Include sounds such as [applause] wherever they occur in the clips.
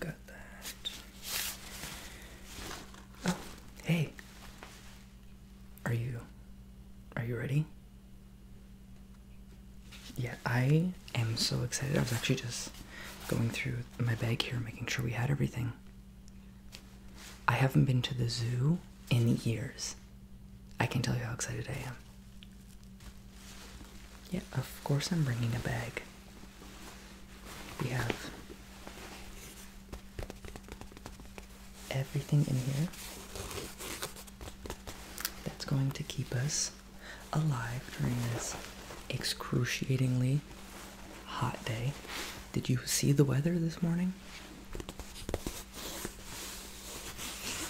got that. Oh, hey. Are you are you ready? Yeah, I am so excited. I was actually just going through my bag here making sure we had everything. I haven't been to the zoo in years. I can not tell you how excited I am. Yeah, of course I'm bringing a bag. We have everything in here that's going to keep us alive during this excruciatingly hot day. Did you see the weather this morning?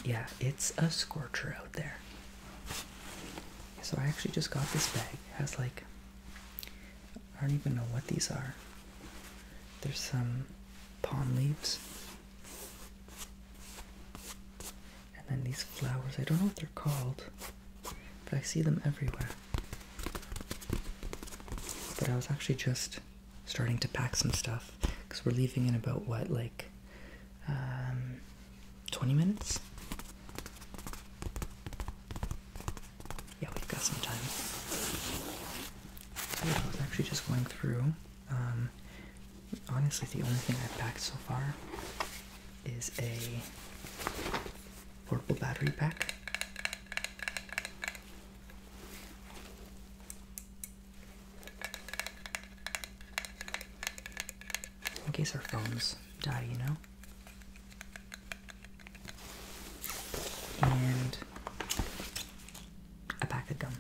Yeah, it's a scorcher out there. So I actually just got this bag. It has like I don't even know what these are. There's some palm leaves. And then these flowers. I don't know what they're called, but I see them everywhere. But I was actually just starting to pack some stuff because we're leaving in about what, like um, 20 minutes? Yeah, we've got some time. yeah, I was actually just going through. Um, honestly, the only thing I've packed so far is a portable battery pack. In case our phones die, you know? And a pack of gum.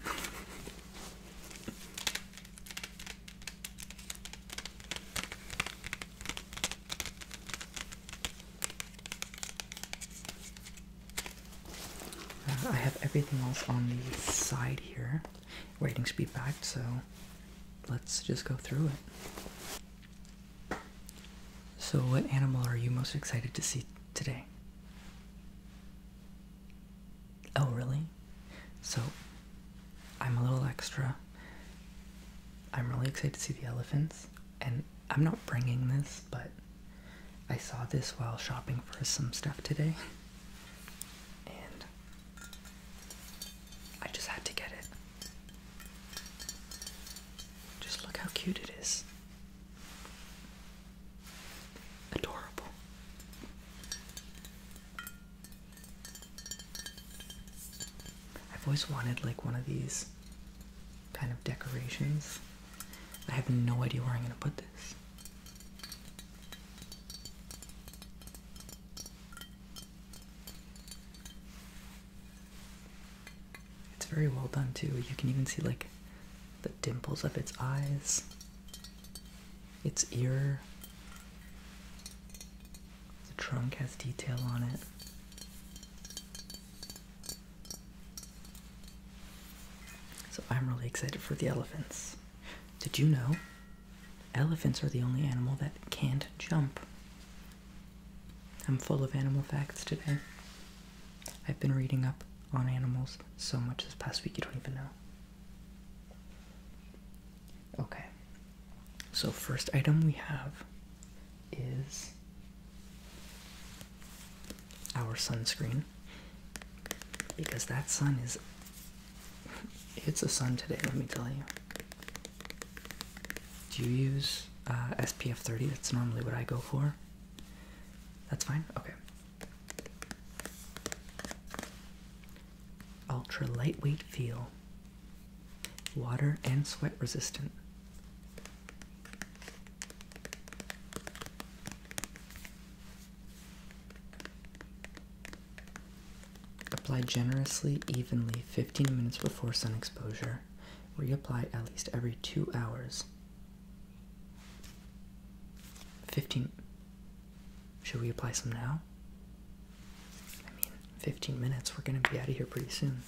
Uh, I have everything else on the side here, waiting to be packed, so let's just go through it. So, what animal are you most excited to see today? Oh, really? So, I'm a little extra. I'm really excited to see the elephants and I'm not bringing this, but I saw this while shopping for some stuff today, and I just had to get it. Just look how cute it is. Adorable. I've always wanted like one of these kind of decorations. I have no idea where I'm going to put this. It's very well done too. You can even see like the dimples of its eyes, its ear. The trunk has detail on it. So I'm really excited for the elephants. Did you know elephants are the only animal that can't jump? I'm full of animal facts today. I've been reading up on animals so much this past week you don't even know. Okay. So first item we have is our sunscreen because that sun is it's a sun today let me tell you do you use uh, spf 30 that's normally what i go for that's fine okay ultra lightweight feel water and sweat resistant. Apply generously, evenly 15 minutes before sun exposure. Reapply at least every two hours. 15. Should we apply some now? I mean, 15 minutes, we're gonna be out of here pretty soon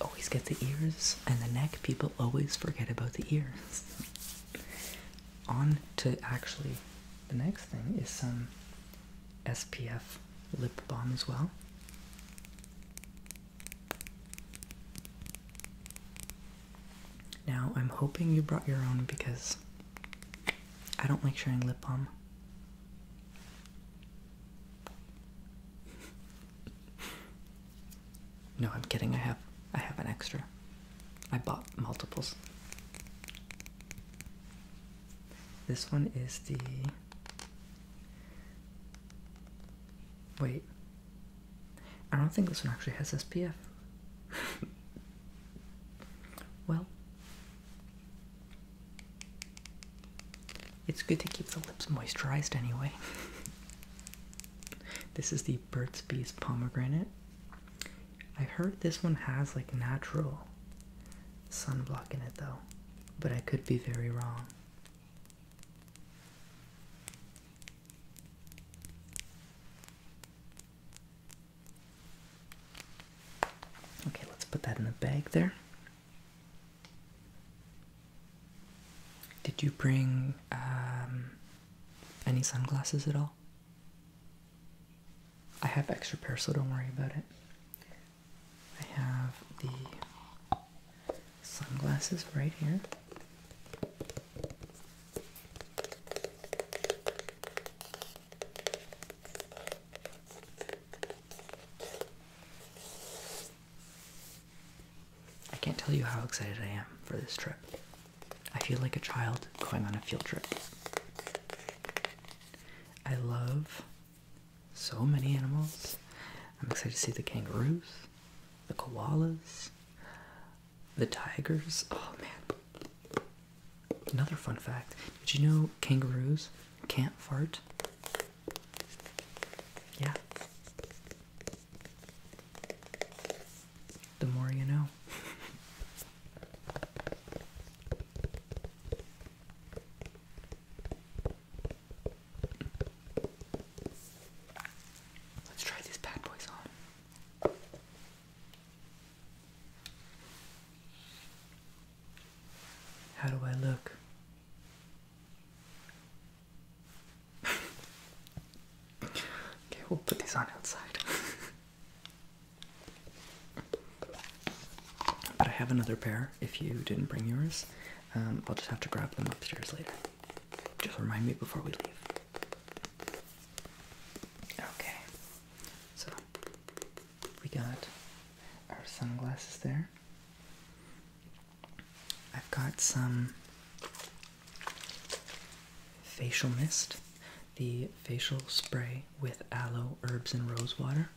always get the ears and the neck. People always forget about the ears. On to actually the next thing is some SPF lip balm as well. Now, I'm hoping you brought your own because I don't like sharing lip balm no, I'm kidding. I have I have an extra. I bought multiples. This one is the Wait. I don't think this one actually has SPF. [laughs] well, it's good to keep the lips moisturized anyway. [laughs] this is the Burt's Bees pomegranate. I heard this one has like natural sunblock in it though, but I could be very wrong. Okay, let's put that in the bag there. Did you bring um, any sunglasses at all? I have extra pair, so don't worry about it. I have the sunglasses right here. I can't tell you how excited I am for this trip. I feel like a child going on a field trip. I love so many animals. I'm excited to see the kangaroos, the koalas, the tigers. Oh man. Another fun fact did you know kangaroos can't fart? Yeah. The more you know. Let's try these bad boys on. How do I look? okay, we'll put these on outside. but I have another pair if you didn't bring yours. I'll um, just have to grab them upstairs later. Just remind me before we leave. Okay, so we got our sunglasses there. I've got some facial mist, the facial spray with aloe, herbs, and rose water.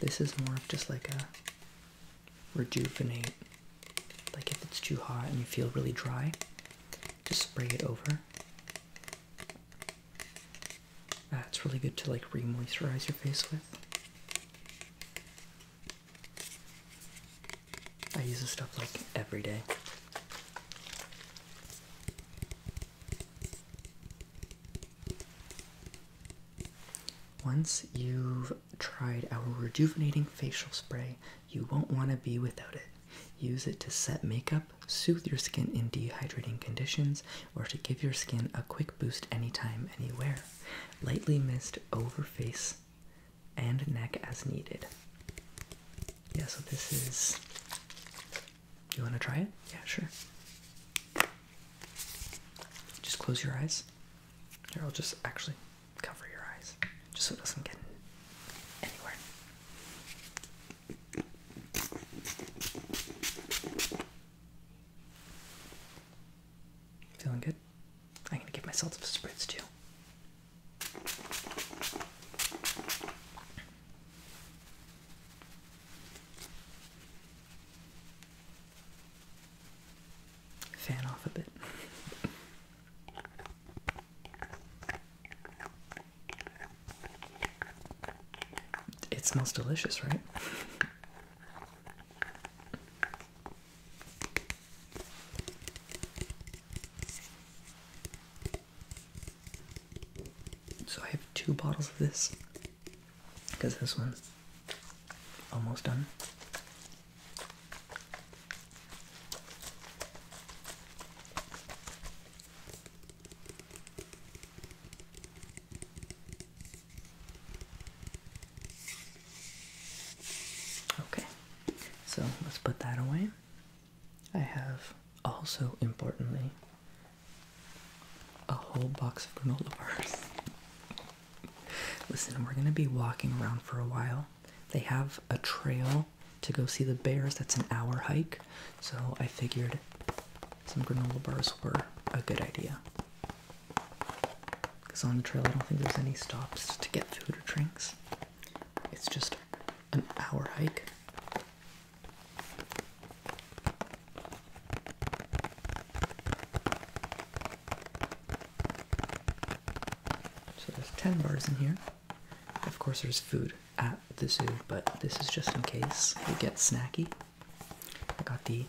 This is more of just like a rejuvenate, like if it's too hot and you feel really dry, just spray it over that's really good to like remoisturize your face with. I use this stuff like every day. Once you've tried our rejuvenating facial spray, you won't want to be without it. Use it to set makeup soothe your skin in dehydrating conditions, or to give your skin a quick boost anytime, anywhere. Lightly mist over face and neck as needed. Yeah, so this is. You want to try it? Yeah, sure. Just close your eyes. Here, I'll just actually cover your eyes just so it doesn't get anywhere. Feeling good? I'm gonna give myself some spritz too. Fan off a bit. [laughs] It smells delicious, right? so I have two bottles of this because this one's almost done. Okay, so let's put that away. I have also importantly a whole box of granola bars. Listen, we're gonna be walking around for a while. They have a trail to go see the bears. That's an hour hike. So I figured some granola bars were a good idea. Because on the trail, I don't think there's any stops to get food or drinks. It's just an hour hike. So there's 10 bars in here. Of course, there's food at the zoo, but this is just in case it gets snacky. I got the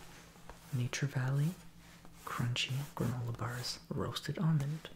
Nature Valley Crunchy Granola Bars Roasted Almond.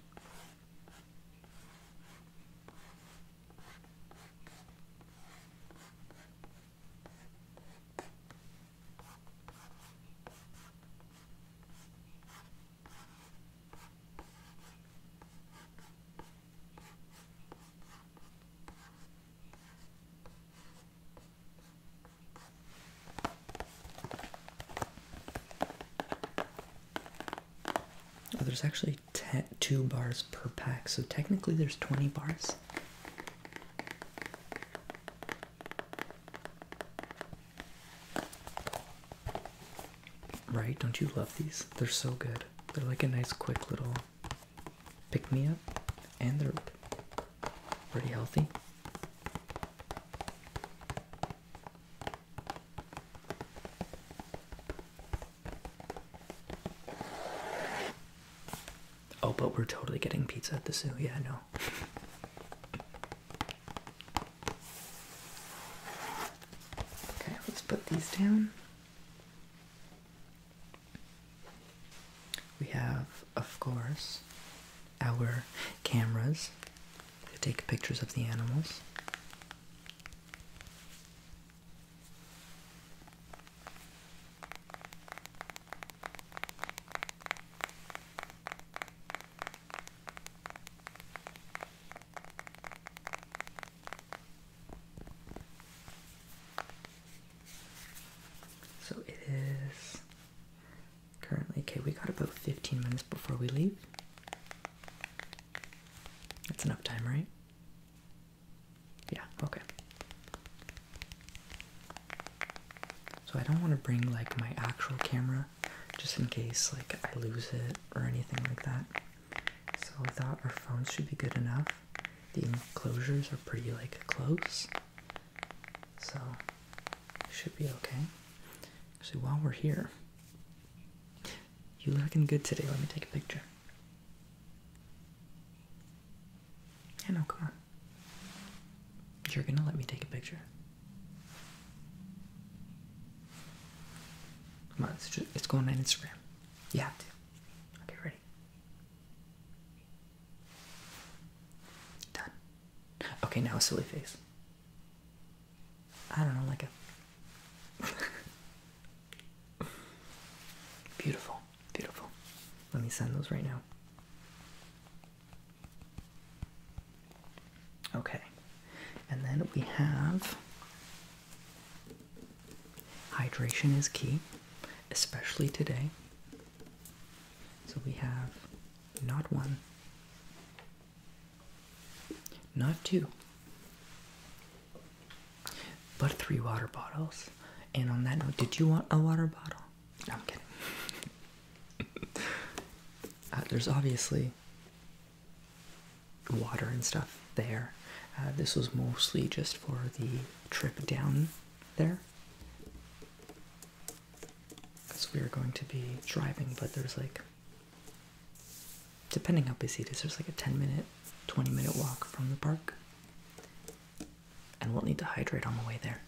Oh, there's actually two bars per pack, so technically there's 20 bars. Right? Don't you love these? They're so good. They're like a nice, quick little pick me up, and they're pretty healthy. Oh, but we're totally getting pizza at the zoo. Yeah, I know. [laughs] Okay, let's put these down. We have, of course, our cameras to take pictures of the animals. So it is currently, okay, we got about 15 minutes before we leave. That's enough time, right? Yeah, okay. So I don't want to bring like my actual camera just in case like I lose it or anything like that. So I thought our phones should be good enough. The enclosures are pretty like close. So should be okay. Actually while we're here. You looking good today, let me take a picture. Yeah come on. You're gonna let me take a picture. Come on, it's, going on Instagram. You have to. Okay, ready? Done. Okay, now a silly face. I don't know, like a. [laughs] beautiful, beautiful. Let me send those right now. Okay, and then we have hydration is key, especially today. So we have not one, not two, but three water bottles. And on that note, did you want a water bottle? I'm kidding. [laughs] Uh, there's obviously water and stuff there. Uh, this was mostly just for the trip down there. Because we are going to be driving, but there's like, depending how busy it is, there's like a 10 minute, 20 minute walk from the park. And we'll need to hydrate on the way there.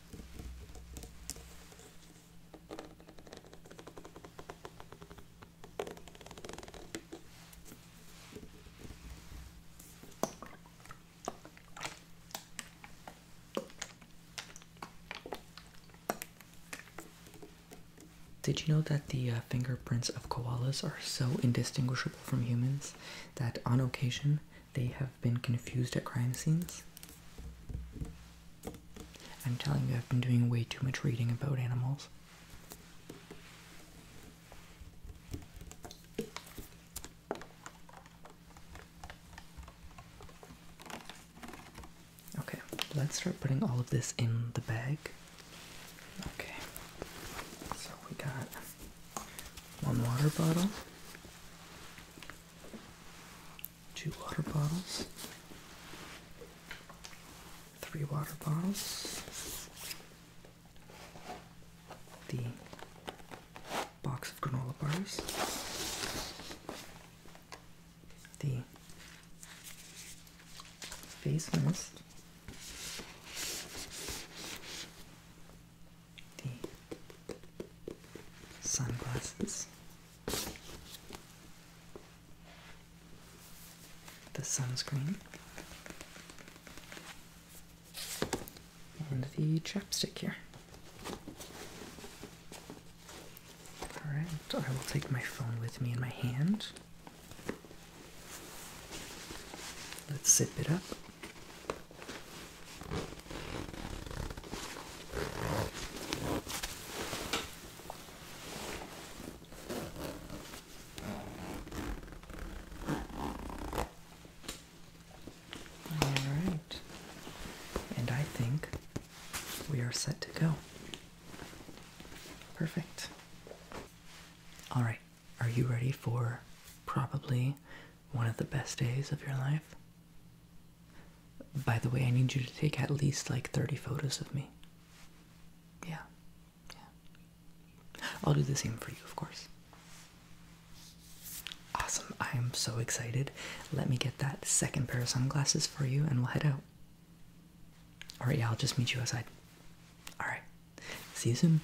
Did you know that the uh, fingerprints of koalas are so indistinguishable from humans that on occasion they have been confused at crime scenes. I'm telling you, I've been doing way too much reading about animals. Okay, let's start putting all of this in the bag. Okay, so we got one water bottle, two water bottles, three water bottles, the box of granola bars, the face mist, the sunglasses. The sunscreen and the chapstick here. Alright, I will take my phone with me in my hand. Let's zip it up. All right. And I think we are set to go. Perfect. All right. Are you ready for probably one of the best days of your life. By the way, I need you to take at least like 30 photos of me. Yeah. Yeah. I'll do the same for you, of course. Awesome. I am so excited. Let me get that second pair of sunglasses for you and we'll head out. Alright, yeah, I'll just meet you outside. Alright. See you soon.